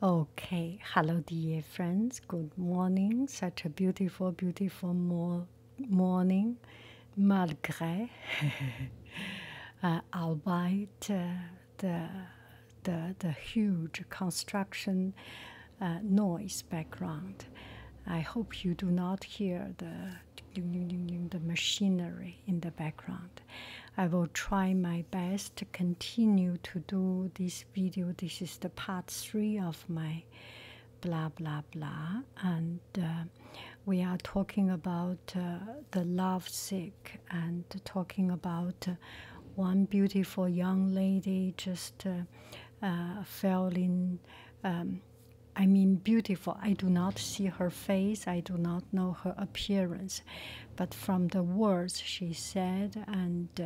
Okay, hello, dear friends. Good morning. Such a beautiful, beautiful morning, malgré, uh, albeit uh, the, the the huge construction uh, noise background. I hope you do not hear the the machinery in the background. I will try my best to continue to do this video. This is the part three of my blah blah blah, and uh, we are talking about uh, the love sick and talking about uh, one beautiful young lady just uh, uh, fell in. Um, I mean, beautiful. I do not see her face. I do not know her appearance but from the words she said and uh,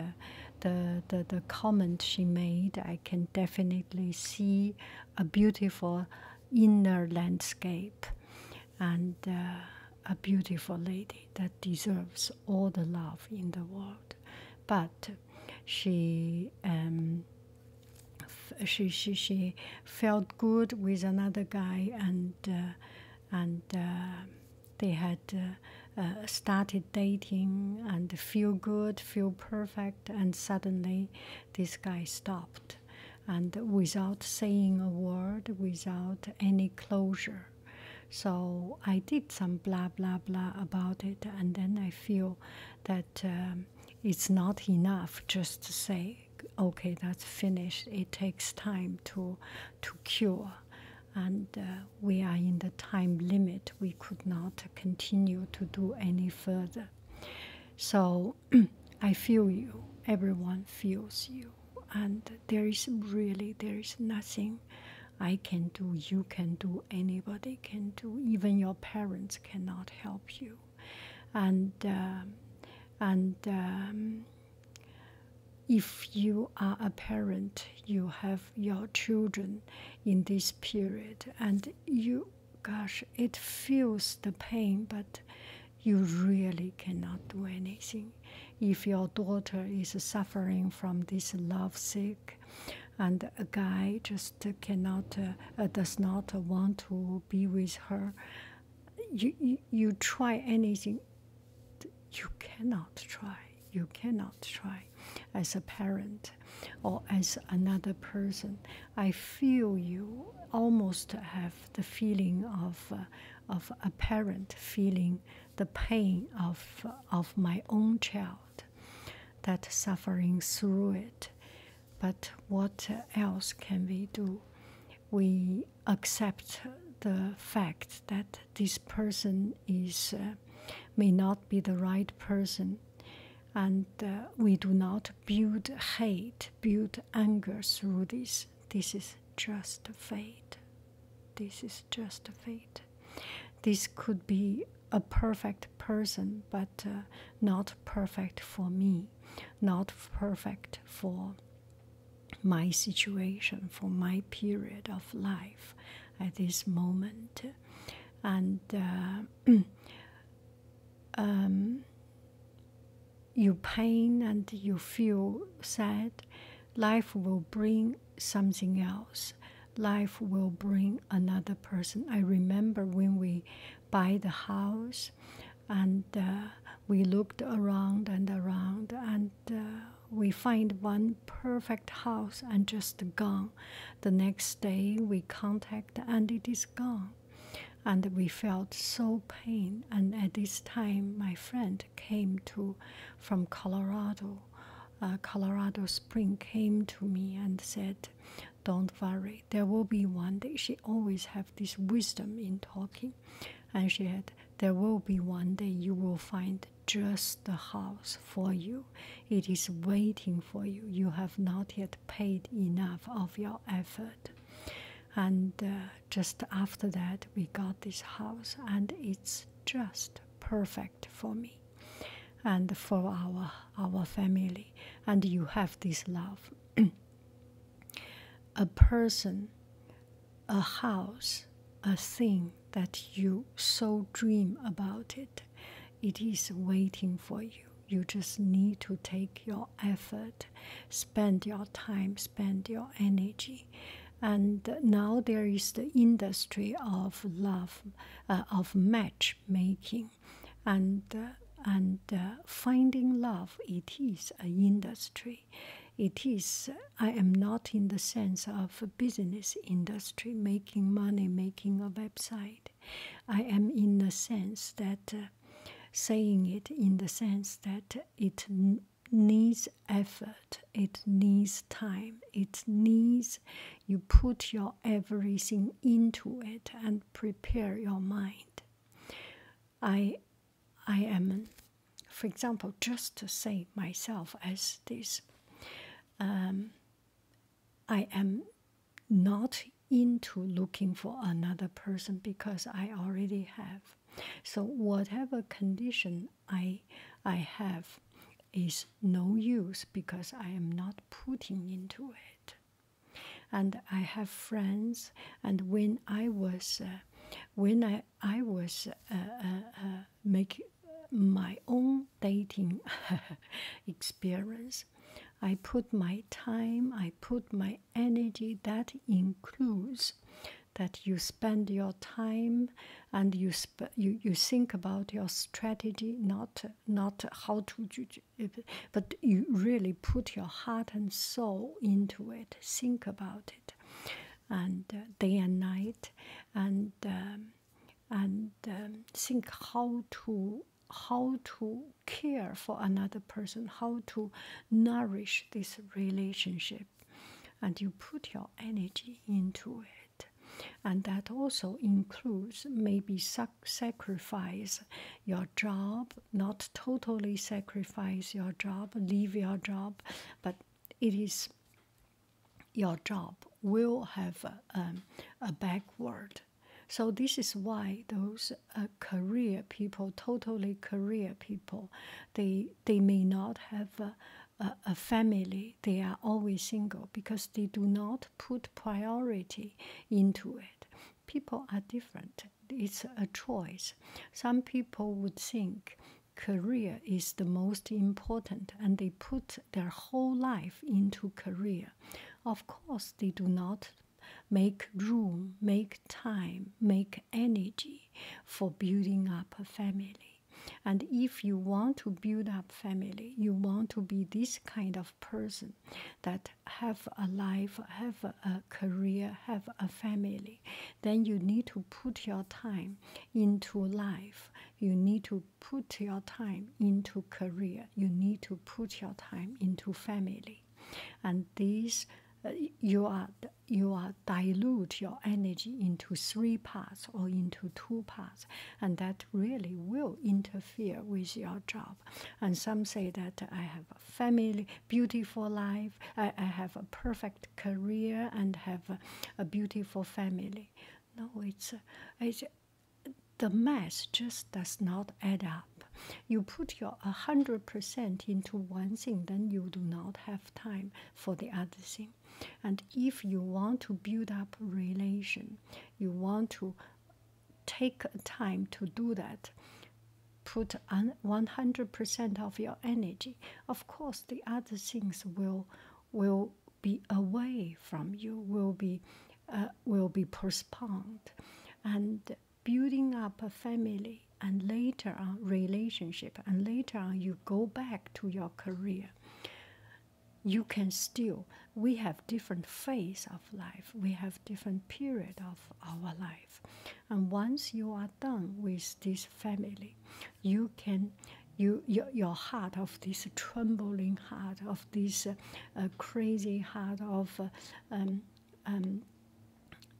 the, the comment she made, I can definitely see a beautiful inner landscape and uh, a beautiful lady that deserves all the love in the world. But she. Um, she she she felt good with another guy and uh, and they had uh, uh, started dating and feel good, feel perfect, and suddenly this guy stopped, and without saying a word, without any closure. So I did some blah blah blah about it, and then I feel that um, it's not enough just to say, okay, that's finished. It takes time to to cure. And uh, we are in the time limit. We could not continue to do any further. So I feel you. Everyone feels you. And there is really, there is nothing I can do, you can do, anybody can do. Even your parents cannot help you. And, um, and, um, if you are a parent, you have your children in this period, and you, gosh, it feels the pain, but you really cannot do anything. If your daughter is suffering from this love sick, and a guy just cannot, uh, does not want to be with her, you, you try anything you cannot try. You cannot try as a parent or as another person. I feel you almost have the feeling of, uh, of a parent feeling the pain of, of my own child that suffering through it. But what else can we do? We accept the fact that this person is uh, may not be the right person and uh, we do not build hate build anger through this this is just fate this is just fate this could be a perfect person but uh, not perfect for me not perfect for my situation for my period of life at this moment and uh, um, you pain and you feel sad life will bring something else life will bring another person i remember when we buy the house and uh, we looked around and around and uh, we find one perfect house and just gone the next day we contact and it is gone and we felt so pain and at this time my friend came to from colorado uh, colorado spring came to me and said don't worry there will be one day she always have this wisdom in talking and she said, there will be one day you will find just the house for you it is waiting for you you have not yet paid enough of your effort and uh, just after that we got this house and it's just perfect for me and for our our family and you have this love a person a house, a thing that you so dream about it. It is waiting for you. You just need to take your effort, spend your time, spend your energy. And now there is the industry of love, uh, of matchmaking, and uh, and uh, finding love. It is an industry. It is, I am not in the sense of business industry, making money, making a website. I am in the sense that, uh, saying it in the sense that it needs effort, it needs time, it needs you put your everything into it and prepare your mind. I, I am, for example, just to say myself as this, um, I am not into looking for another person because I already have. So whatever condition I, I have is no use because I am not putting into it. And I have friends, and when I was uh, when I I was uh, uh, uh, making my own dating experience, I put my time, I put my energy. That includes that you spend your time and you you you think about your strategy, not not how to, but you really put your heart and soul into it think about it, and uh, day and night, and um, and um, think how to how to care for another person, how to nourish this relationship, and you put your energy into it, and that also includes maybe sacrifice your job not totally sacrifice your job, leave your job, but it is your job will have a, um, backward. So this is why those uh, career people, totally career people, they they may not have a family. They are always single because they do not put priority into it people are different. It's a choice. Some people would think career is the most important and they put their whole life into career. Of course, they do not make room, make time, make energy for building up a family. And if you want to build up family, you want to be this kind of person that have a life, have a career, have a family, then you need to put your time into life. You need to put your time into career. You need to put your time into family. And these uh, you are you are dilute your energy into three parts or into two parts and that really will interfere with your job and some say that i have a family beautiful life, I, I have a perfect career, and have a, beautiful family. No, it's, it's the math just does not add up. You put your 100% into one thing, then you do not have time for the other thing. And if you want to build up relation, you want to take time to do that put 100% of your energy of course the other things will will be away from you will be uh, will be postponed and building up a family and later on relationship and later on you go back to your career you can still we have different phase of life we have different period of our life and once you are done with this family, you can, you your, your heart of this trembling heart of this uh, uh, crazy heart of, uh, um, um,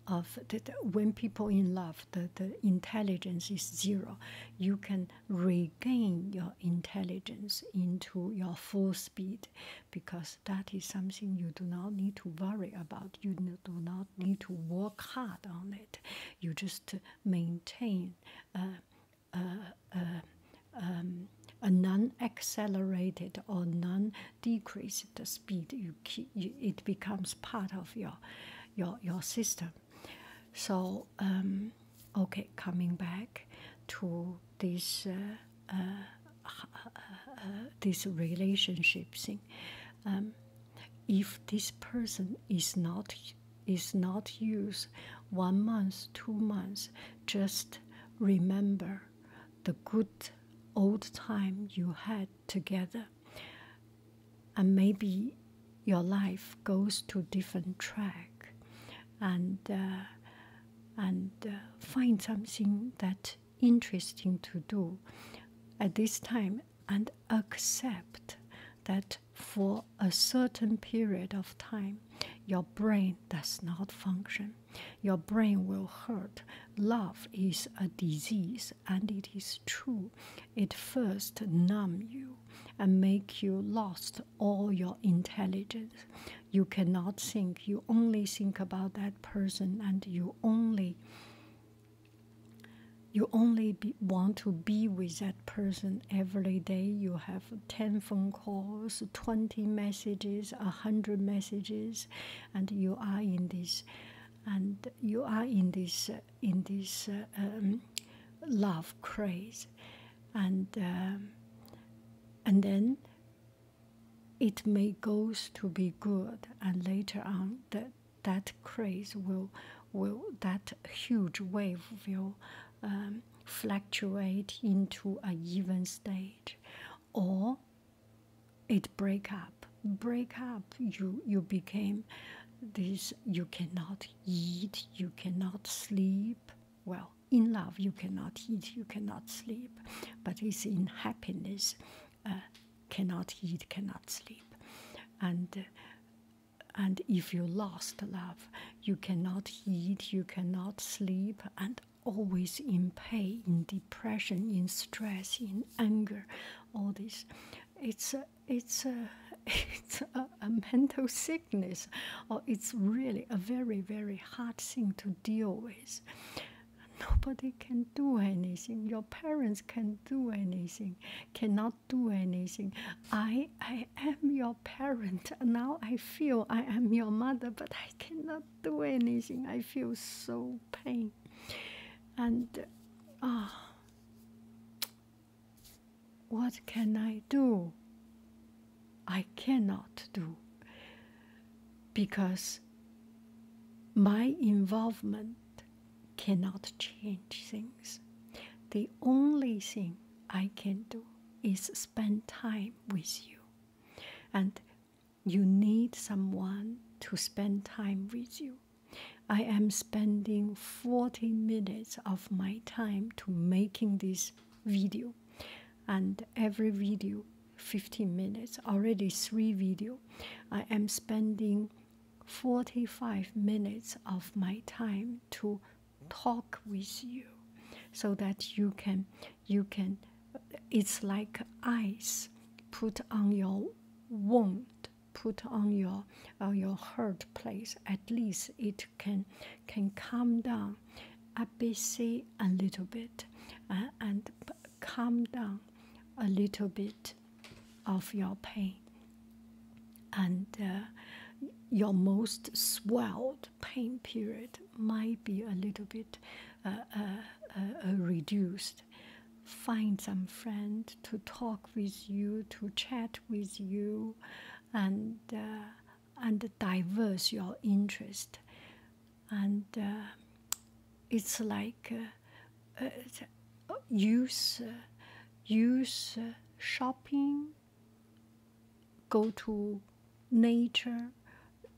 of the, when people in love, the, the intelligence is zero. You can regain your intelligence into your full speed because that is something you do not need to worry about. You do not need to work hard on it. You just maintain uh, uh, uh, um, a, non-accelerated or non-decreased speed. You, keep, it becomes part of your your your system. So um, okay, coming back to this uh, uh, uh, this relationship thing. Eh? Um, if this person is not is not used one month, two months, just remember the good old time you had together, and maybe your life goes to different track, and and find something that interesting to do at this time and accept that for a certain period of time your brain does not function your brain will hurt love is a disease and it is true it first numbs you and make you lost all your intelligence you cannot think, you only think about that person and you only you only want to be with that person every day. You have 10 phone calls, 20 messages, 100 messages, and you are in this and you are in this in this uh, um, love craze and um, and then it may goes to be good and later on that that craze will will that huge wave will um, fluctuate into a even stage or it break up break up you you became this you cannot eat you cannot sleep well in love you cannot eat, you cannot sleep, but it's in happiness, uh, cannot eat, cannot sleep, and. Uh, and if you lost love, you cannot eat, you cannot sleep, and always in pain, in depression, in stress, in anger, all this. It's a, it's a, it's a mental sickness, or oh, it's really a very very hard thing to deal with. Nobody can do anything. Your parents can do anything, cannot do anything. I I am your parent. Now I feel I am your mother, but I cannot do anything. I feel so pain. And ah what can I do? I cannot do because my involvement cannot change things. The only thing I can do is spend time with you. And you need someone to spend time with you. I am spending 40 minutes of my time to making this video and every video 15 minutes already three video i am spending 45 minutes of my time to talk with you so that you can you can it's like ice put on your wound put on your uh, your hurt place at least it can can calm down down a busy a little bit uh, and calm down a little bit of your pain and uh, your most swelled pain period might be a little bit uh, reduced find some friend to talk with you to chat with you and and divers your interest and uh, it's like uh, uh, use use shopping go to nature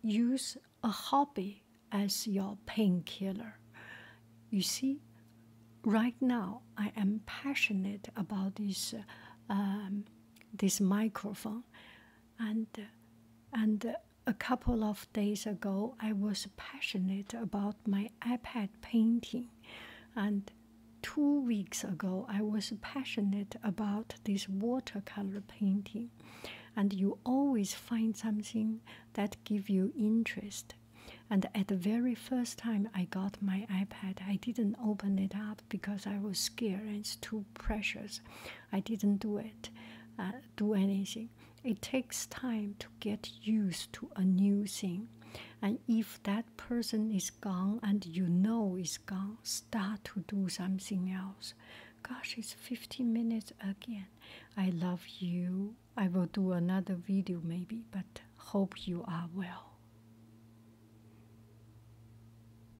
use a hobby as your painkiller you see right now i am passionate about this um, this microphone and and a couple of days ago I was passionate about my iPad painting and two weeks ago I was passionate about this watercolor painting and you always find something that give you interest and at the very first time I got my iPad I didn't open it up because I was scared it's too precious I didn't do it, uh, do anything. It takes time to get used to a new thing. And if that person is gone and you know is gone, start to do something else. Gosh, it's 15 minutes again. I love you. I will do another video maybe, but hope you are well.